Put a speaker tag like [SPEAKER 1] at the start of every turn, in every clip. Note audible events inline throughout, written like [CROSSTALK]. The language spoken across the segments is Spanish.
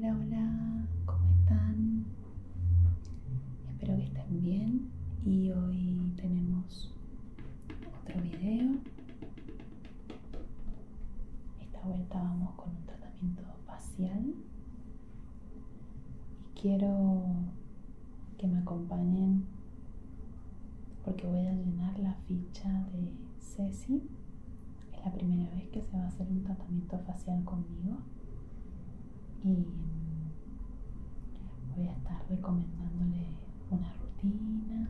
[SPEAKER 1] Hola, hola, ¿cómo están? Espero que estén bien y hoy tenemos otro video. Esta vuelta vamos con un tratamiento tratamiento facial y quiero que me acompañen porque voy a llenar la ficha de Ceci. Es la primera vez que se va a hacer un tratamiento facial conmigo y voy a estar recomendándole una rutina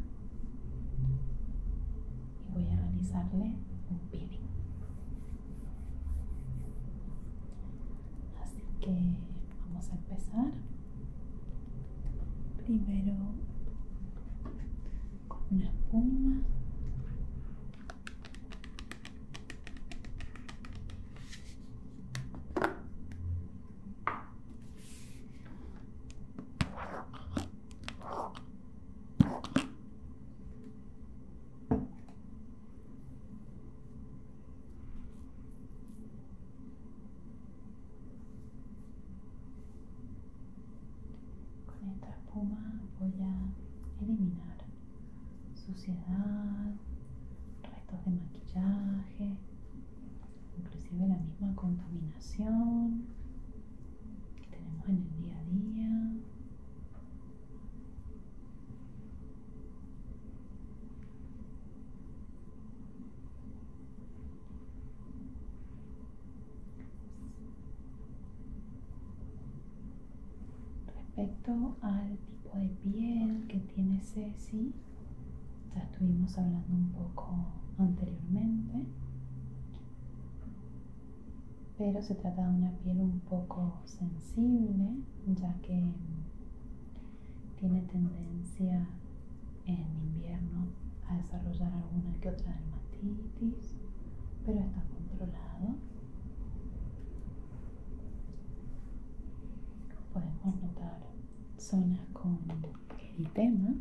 [SPEAKER 1] y voy a realizarle un peeling. Así que vamos a empezar primero con una espuma. Con esta espuma voy a eliminar suciedad, restos de maquillaje, inclusive la misma contaminación que tenemos en el día a día. Respecto al tipo de piel que tiene Ceci, ya estuvimos hablando un poco anteriormente pero se trata de una piel un poco sensible ya que tiene tendencia en invierno a desarrollar alguna que otra dermatitis, pero está controlado. Podemos notar zonas con eritema,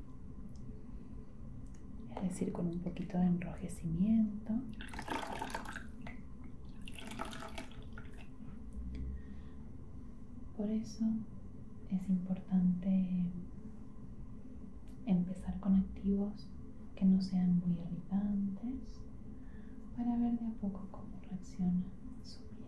[SPEAKER 1] es decir, con un poquito de enrojecimiento por eso es importante empezar con activos que no sean muy irritantes para ver de a poco cómo reacciona su piel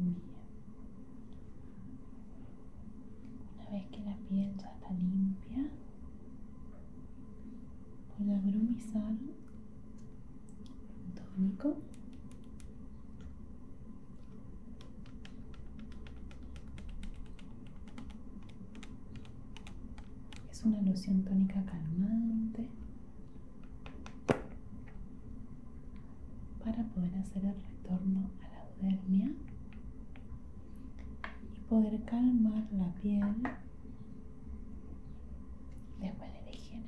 [SPEAKER 1] Una vez que la piel está limpia, voy a bromizar tónico es una loción tónica calmante para poder hacer el retorno a la y poder calmar la piel después de higiene.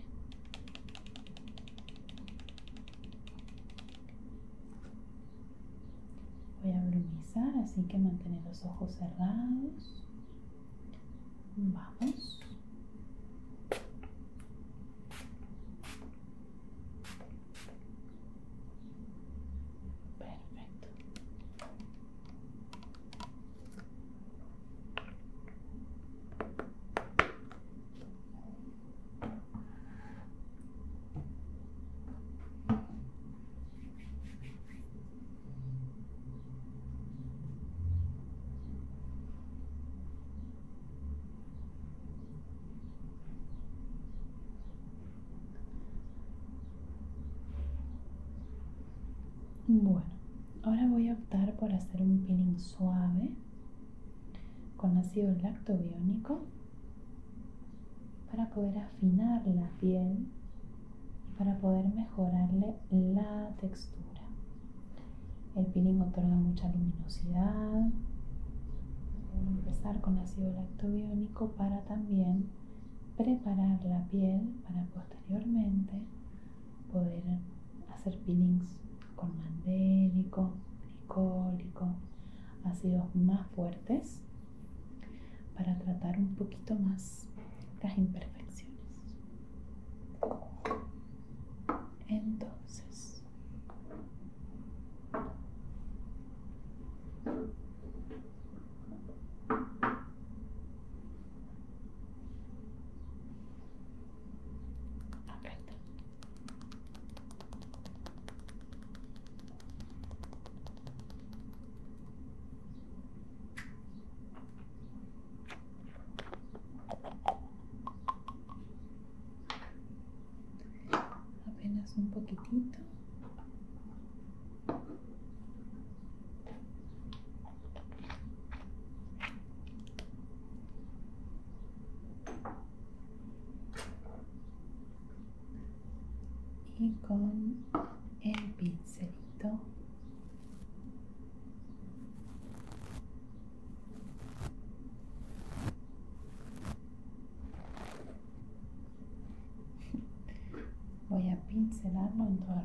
[SPEAKER 1] Voy a brumizar, así que mantener los ojos cerrados. Vamos. Perfecto. Bueno, ahora voy a optar por hacer un peeling suave con ácido lactobiónico para poder afinar la piel y para poder mejorarle la textura. El peeling otorga mucha luminosidad. Vamos a empezar con ácido lactobiónico para también preparar la piel para posteriormente poder hacer peelings con mandélico, glicólico, ácidos más fuertes para tratar un poquito más las imperfecciones. Entonces, Apenas un poquitito. e con il pinzelito [LAUGHS] voy a pincelarlo en toda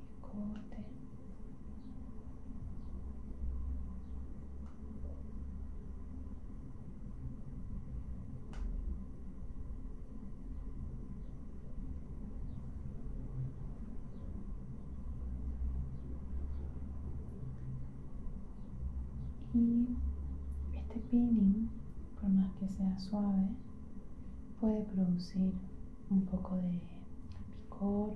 [SPEAKER 1] y este peeling por más que sea suave puede producir un poco de picor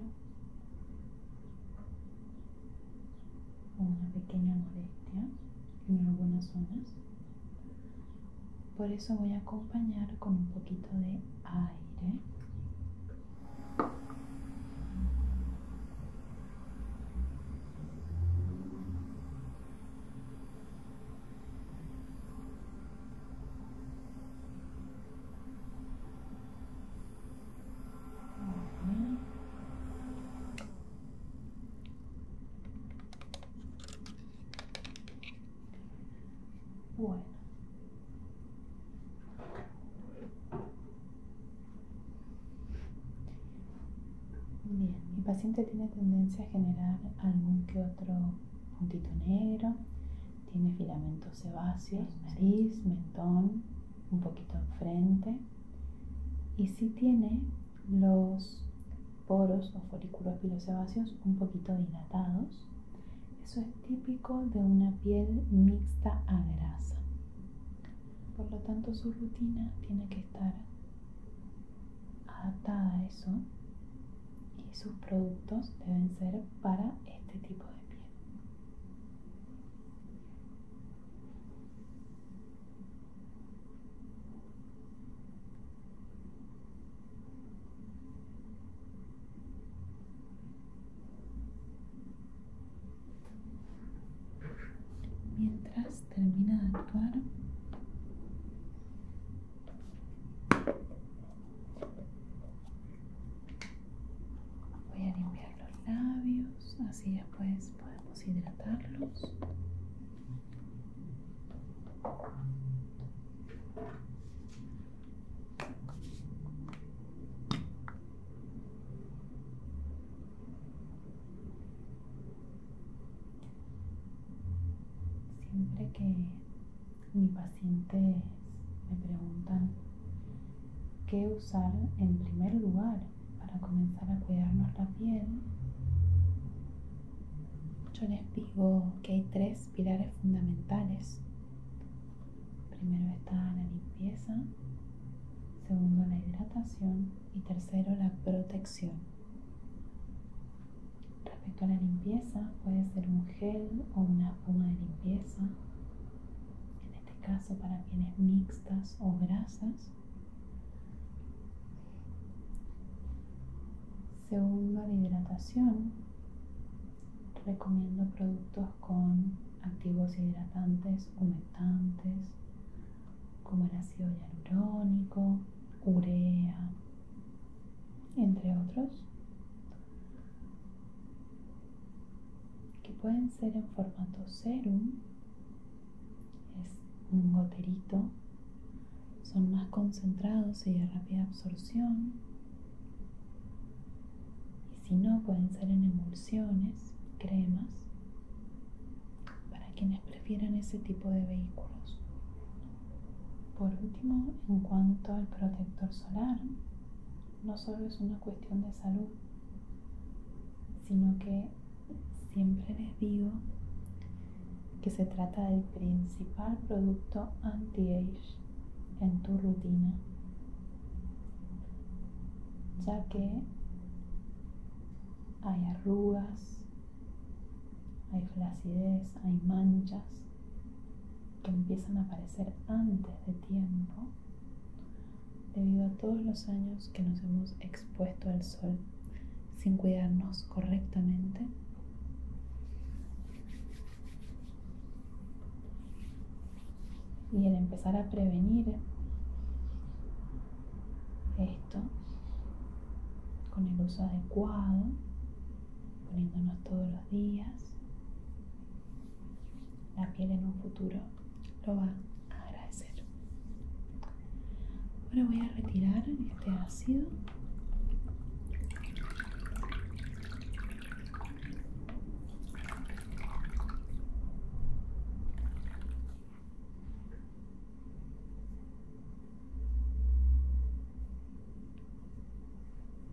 [SPEAKER 1] una pequeña molestia en algunas zonas. Por eso voy a acompañar con un poquito de aire. Bueno. Bien, mi paciente tiene tendencia a generar algún que otro puntito negro tiene filamentos sebáceos, nariz, mentón, un poquito en frente y si tiene los poros o folículos pilosebáceos un poquito dilatados. Eso es típico de una piel mixta a grasa. Por lo tanto, su rutina tiene que estar adaptada a eso y sus productos deben ser para este tipo de piel. Mientras termina de actuar, Voy a limpiar los labios, así después podemos hidratarlos. Siempre que mis pacientes me preguntan qué usar en primer lugar para comenzar a cuidarnos la piel. Yo les digo que hay tres pilares fundamentales. Primero está la limpieza, segundo la hidratación y tercero la protección. Respecto a la limpieza, puede ser un gel o una espuma de limpieza, en este caso para pieles mixtas o grasas. Segundo, la hidratación. Recomiendo productos con activos hidratantes, humectantes, como el ácido hialurónico, urea, entre otros que pueden ser en formato serum, es un goterito, son más concentrados y de rápida absorción, y si no, pueden ser en emulsiones, cremas, para quienes prefieran ese tipo de vehículos. Por último, en cuanto al protector solar, no solo es una cuestión de salud, sino que siempre les digo que se trata del principal producto anti-age en tu rutina, ya que hay arrugas, hay flacidez, hay manchas que empiezan a aparecer antes de tiempo debido a todos los años que nos hemos expuesto al sol sin cuidarnos correctamente y el empezar a prevenir esto con el uso adecuado poniéndonos todos los días, la piel en un futuro lo va a agradecer. Ahora voy a retirar este ácido.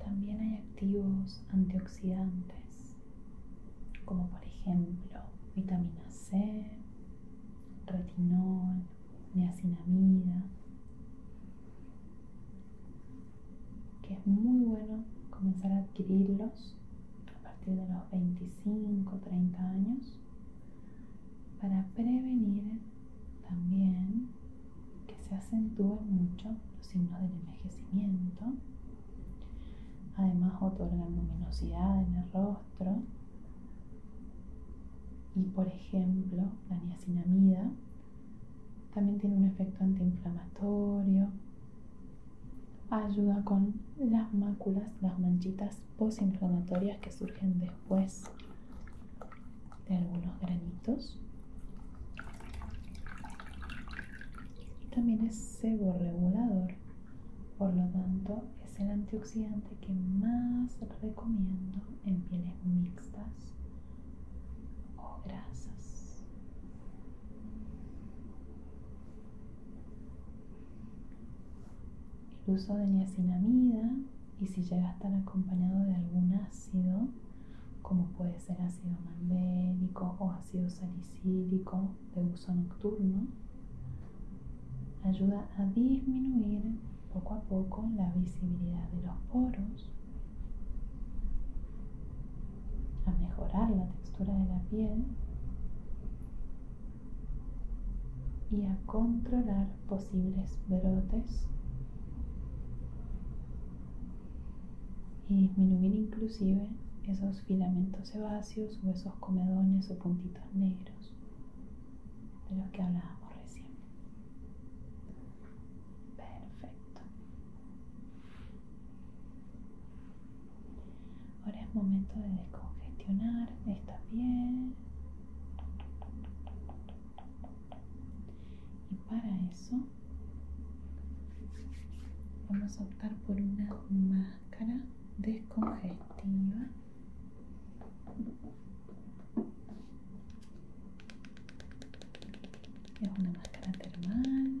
[SPEAKER 1] También hay activos antioxidantes, como por ejemplo vitamina C, retinol, niacinamida que es muy bueno comenzar a adquirirlos a partir de los 25, 30 años para prevenir también que se acentúen mucho los signos del envejecimiento. Además otorgan luminosidad en el rostro. Y por ejemplo, la niacinamida también tiene un efecto antiinflamatorio. Ayuda con las máculas, las manchitas postinflamatorias que surgen después de algunos granitos. también es seborregulador, por lo tanto es el antioxidante que más recomiendo en pieles mixtas o oh, grasas. El uso de niacinamida y si llega a estar acompañado de algún ácido, como puede ser ácido mandélico o ácido salicílico de uso nocturno, ayuda a disminuir poco a poco la visibilidad de los poros a mejorar la textura de la piel y a controlar posibles brotes y disminuir inclusive esos filamentos sebáceos o esos comedones o puntitos negros de los que hablábamos recién. Perfecto. Ahora es momento de descongestionar esta piel. Y para eso vamos a optar por una máscara descongestiva es una máscara termal.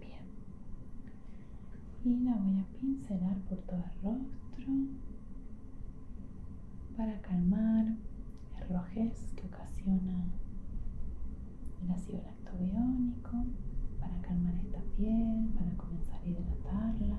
[SPEAKER 1] Bien. Y la voy a pincelar por todo el rostro para calmar el rojez que ocasiona el ácido biónico para calmar esta piel, para comenzar a hidratarla.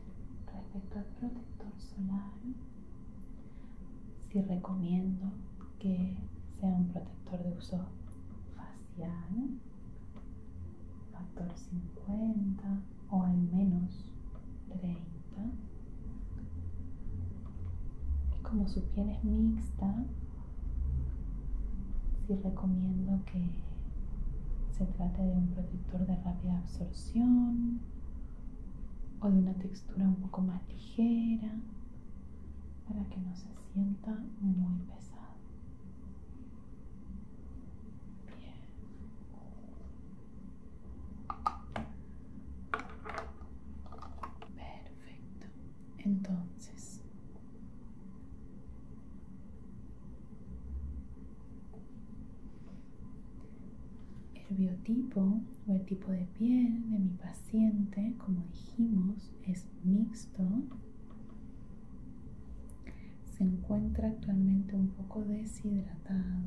[SPEAKER 1] Respecto al protector solar, si recomiendo que sea un protector de uso facial, factor 50 o al menos 30. Y como su piel es mixta, si recomiendo que se trate de un protector de rápida absorción o de una textura un poco más ligera para que no se sienta muy pesado. Bien. Perfecto. Entonces el biotipo o el tipo de piel de mi paciente, como dijimos, es mixto. Se encuentra actualmente un poco deshidratado.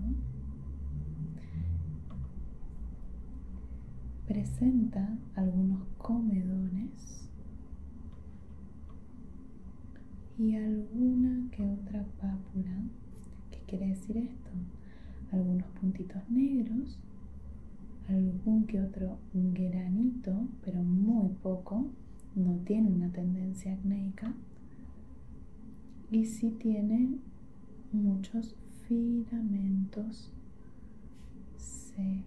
[SPEAKER 1] Presenta algunos comedones y alguna que otra pápula. ¿Qué quiere decir esto? Algunos puntitos negros, algún que otro granito, pero muy poco, no tiene una tendencia acnéica y si tiene muchos filamentos sebáceos.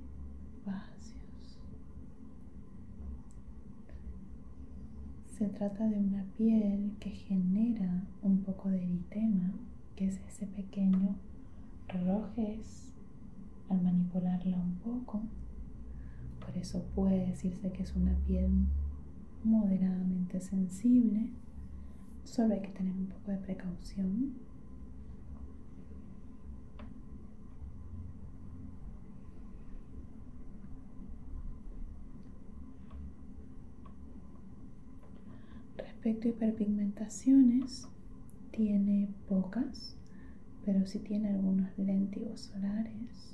[SPEAKER 1] Se trata de una piel que genera un poco de eritema, que es ese pequeño rojez al manipularla un poco. Por eso puede decirse que es una piel moderadamente sensible. Solo hay que tener un poco de precaución. Respecto a hiperpigmentaciones, tiene pocas, pero si tiene algunos lentigos solares.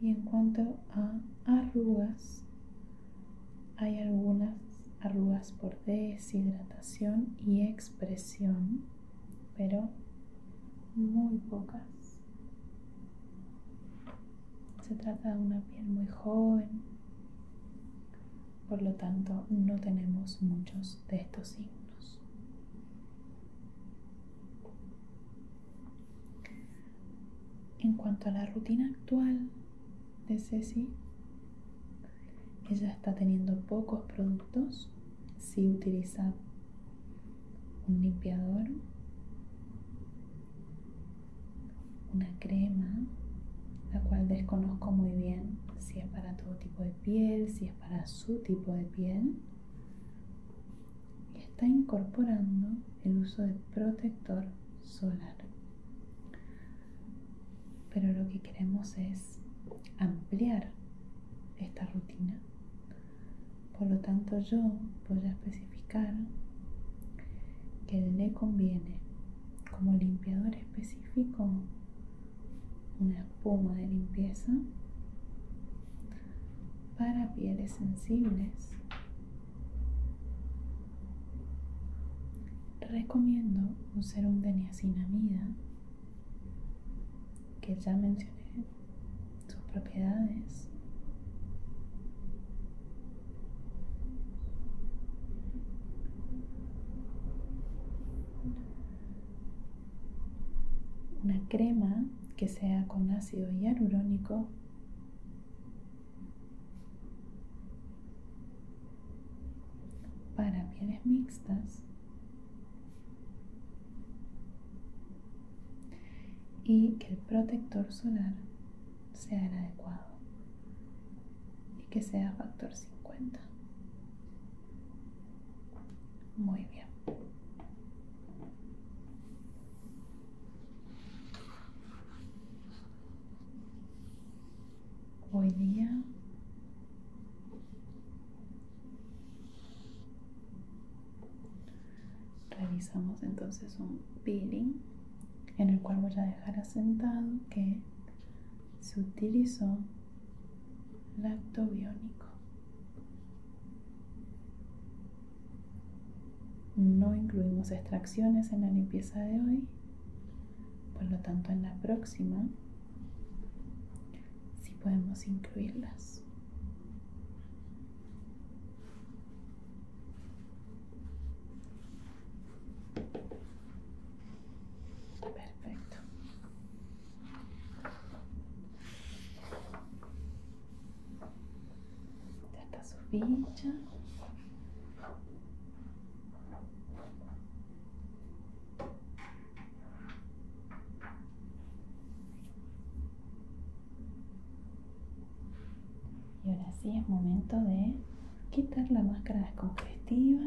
[SPEAKER 1] Y en cuanto a arrugas, hay algunas arrugas por deshidratación y expresión, pero muy pocas. Se trata de una piel muy joven, por lo tanto no tenemos muchos de estos signos. En cuanto a la rutina actual de Ceci, ella está teniendo pocos productos si utiliza un limpiador, una crema, la cual desconozco muy bien si es para todo tipo de piel, si es para su tipo de piel. Y está incorporando el uso de protector solar pero lo que queremos es ampliar esta rutina. Por lo tanto, yo voy a especificar que le conviene como limpiador específico una espuma de limpieza para pieles sensibles. Recomiendo un serum de niacinamida que ya mencioné sus propiedades una crema que sea con ácido hialurónico para pieles mixtas. Y que el protector solar sea el adecuado. Y que sea factor 50. Muy bien hoy día realizamos entonces un peeling en el cual voy a dejar asentado que se utilizó lactobiónico no incluimos extracciones en la limpieza de hoy por lo tanto, en la próxima si podemos incluirlas. Perfecto. está su y ahora sí es momento de quitar la máscara descongestiva.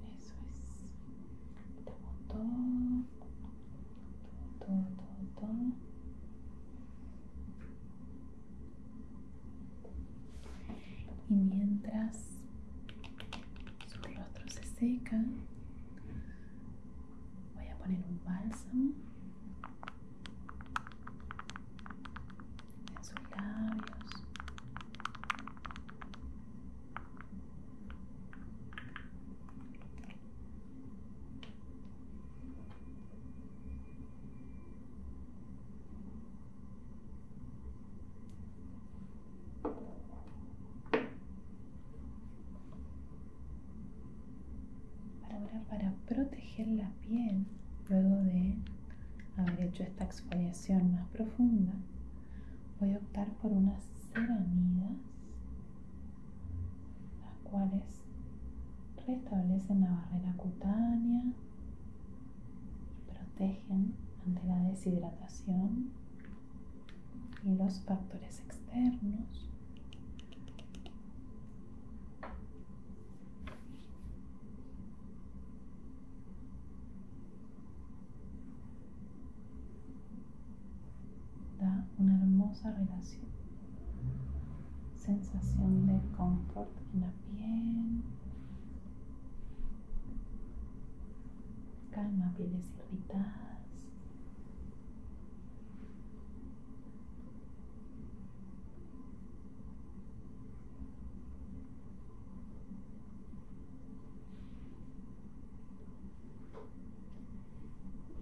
[SPEAKER 1] Eso es. Todo, todo, todo, todo, Y mientras su rostro se secan voy a poner un bálsamo en sus labios para, proteger la piel luego de haber hecho esta exfoliación más profunda voy a optar por unas ceramidas las cuales restablecen la barrera cutánea y protegen ante la deshidratación y los factores externos da una hermosa relación sensación de confort en la piel calma pieles irritadas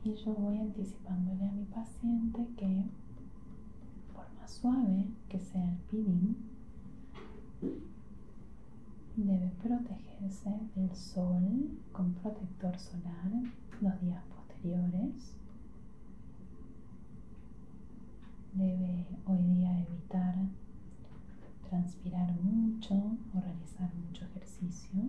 [SPEAKER 1] y yo voy anticipándole a mi paciente que, por más suave que sea el peeling, debe protegerse del sol con protector solar los días posteriores. Debe hoy día evitar transpirar mucho o realizar mucho ejercicio.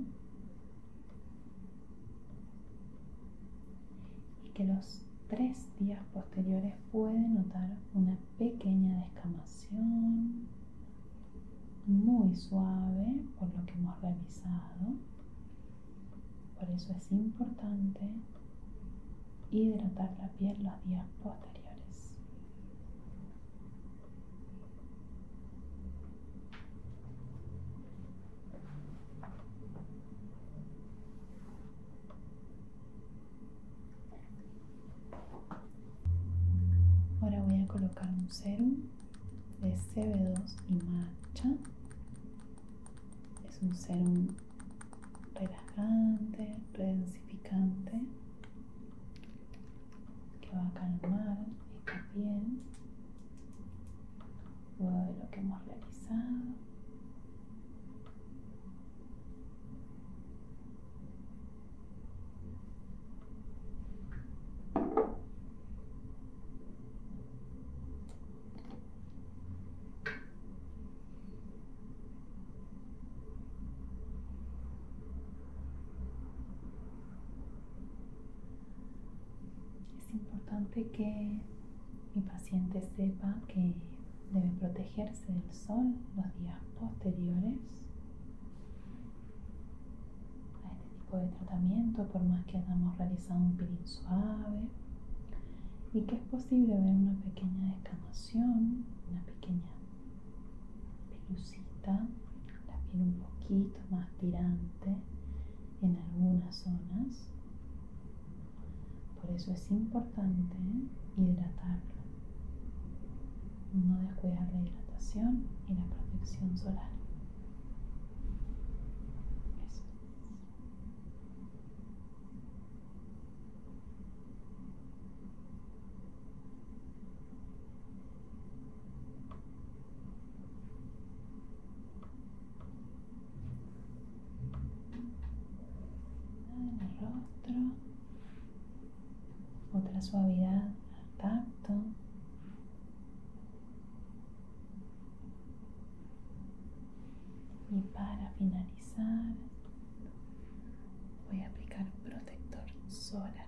[SPEAKER 1] Y que los tres días posteriores puede notar una pequeña descamación muy suave por lo que hemos realizado. Por eso es importante hidratar la piel los días posteriores. Ahora voy a colocar un serum de CB2 y matcha. Es un serum relajante, redensificante que va a calmar esta piel luego de lo que hemos realizado es importante que mi paciente sepa que debe protegerse del sol los días posteriores a este tipo de tratamiento, por más que hayamos realizado un peeling suave, y que es posible ver una pequeña descamación, una pequeña pelucita, la piel un poquito más tirante en algunas zonas. Por eso es importante hidratarlo no descuidar la hidratación y la protección solar otra suavidad al tacto. Y para finalizar, voy a aplicar un protector solar.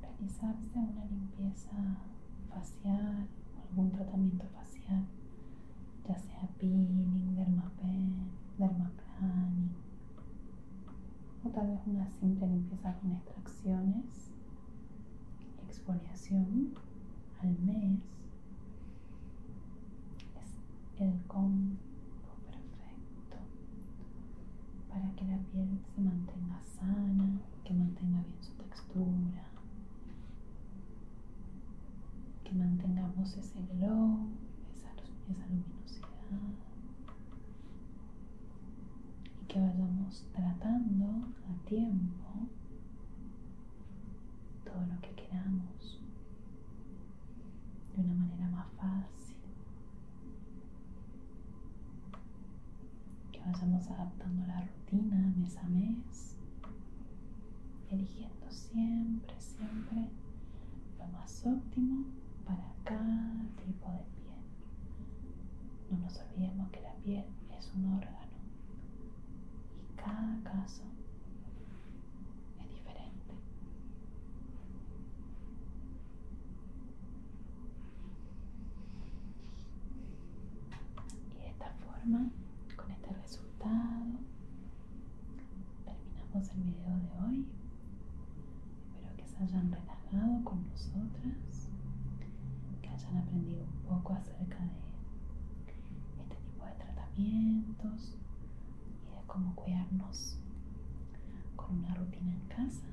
[SPEAKER 1] realizarse una limpieza facial o algún tratamiento facial, ya sea peeling, dermapen, dermaplaning o tal vez una simple limpieza con extracciones, exfoliación al mes. Es el combo perfecto para que la piel se mantenga sana, que mantenga bien su textura, que mantengamos ese glow, esa, esa luminosidad y que vayamos tratando a tiempo todo lo que queramos de una manera más fácil que vayamos adaptando la rutina mes a mes, eligiendo siempre, siempre lo más óptimo para cada tipo de piel. No nos olvidemos que la piel es un órgano y cada caso es diferente. Y de esta forma, con este resultado, terminamos el video de hoy. Espero que se hayan relajado con nosotras, que hayan aprendido un poco acerca de este tipo de tratamientos y de cómo cuidarnos con una rutina en casa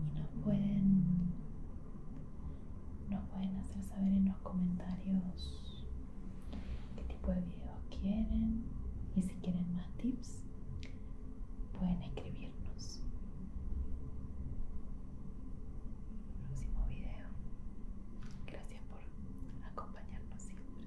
[SPEAKER 1] y nos pueden, nos pueden hacer saber en los comentarios qué tipo de videos quieren y si quieren más tips pueden escribirnos. Próximo video. Gracias por acompañarnos siempre.